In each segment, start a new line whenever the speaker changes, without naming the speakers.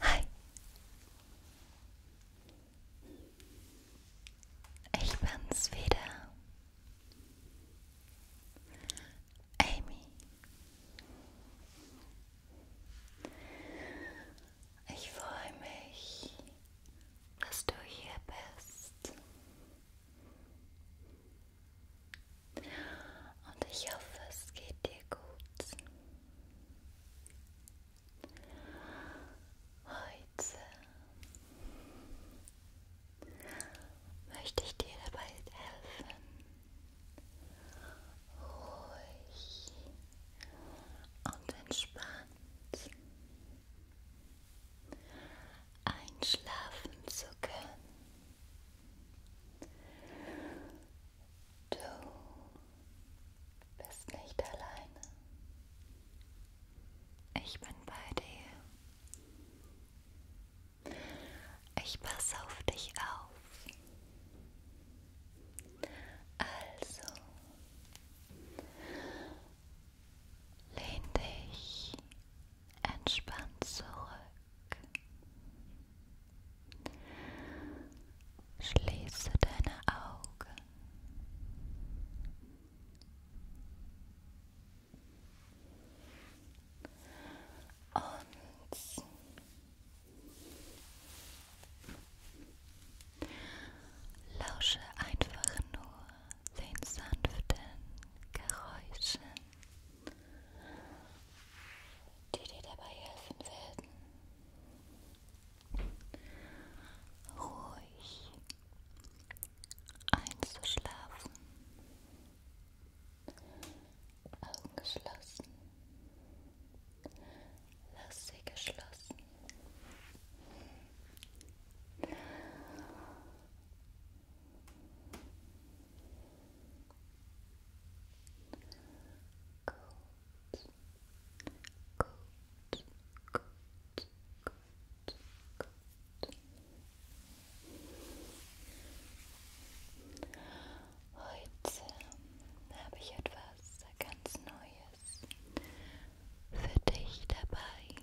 Hi. Ich bin's wieder. Amy. Ich freue mich, dass du hier bist. Und ich hoffe, es geht dir gut. Heute möchte ich dir dabei helfen, ruhig und entspannt einschlafen zu können. Du bist nicht alleine. Ich bin bei dir. Ich passe auf dich auf. Also, lehn dich entspannt zurück. Schließe deine Augen. Und lausche einfach nur den sanften Geräuschen die dir dabei helfen werden, ruhig einzuschlafen. Augen geschlossen. Lass sie geschlossen. Atme Gut. Gut. Gut. Gut. Gut. Heute habe ich etwas ganz Neues für dich dabei.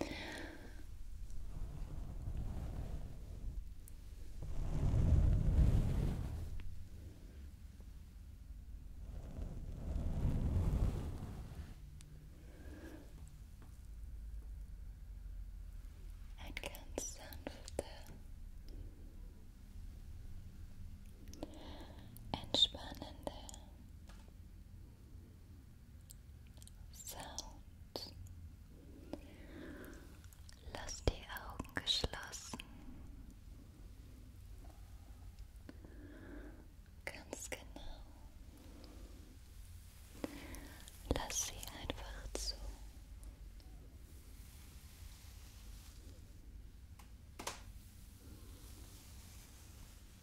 Ein ganz sanfter, entspannender Sound. Lass die Augen geschlossen. Ganz genau. Lass sie einfach zu.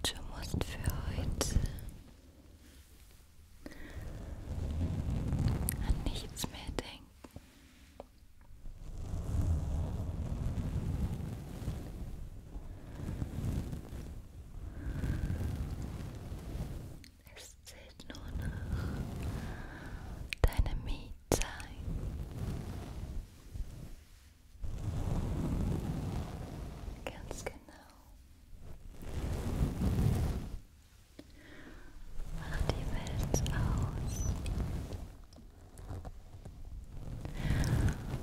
Du musst für heute an nichts mehr denken. Es zählt nur noch deine Mietzeit. Ganz genau. Mach die Welt aus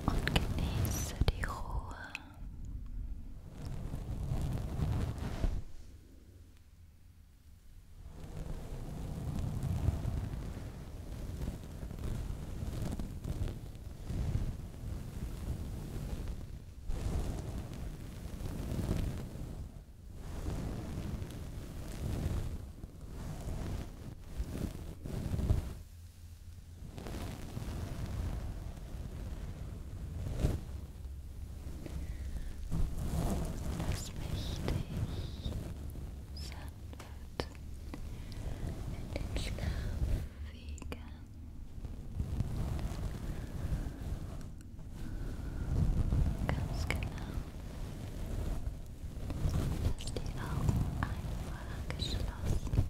und genieße die Ruhe. Lass mich dich sanft in den Schlaf wiegen. Ganz genau. Dass die Augen einfach geschlossen. Ganz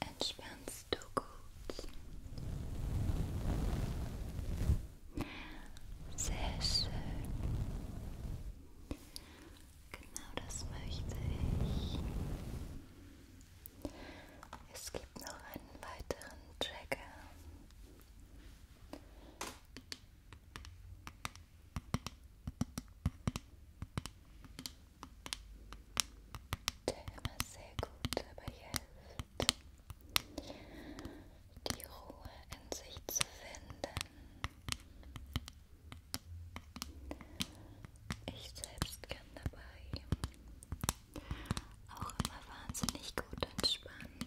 Entspannst du gut? Sehr schön. Genau das möchte ich. Es gibt noch einen weiteren Trigger. Der immer sehr gut dabei hilft, die Ruhe in sich zu finden. Ich selbst kann dabei auch immer wahnsinnig gut entspannen.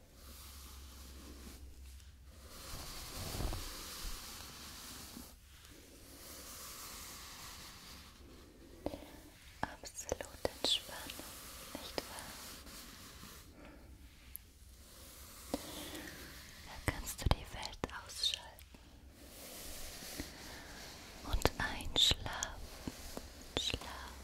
Absolut Entspannung, nicht wahr? Da kannst du die Welt ausschalten und einschlafen, schlafen,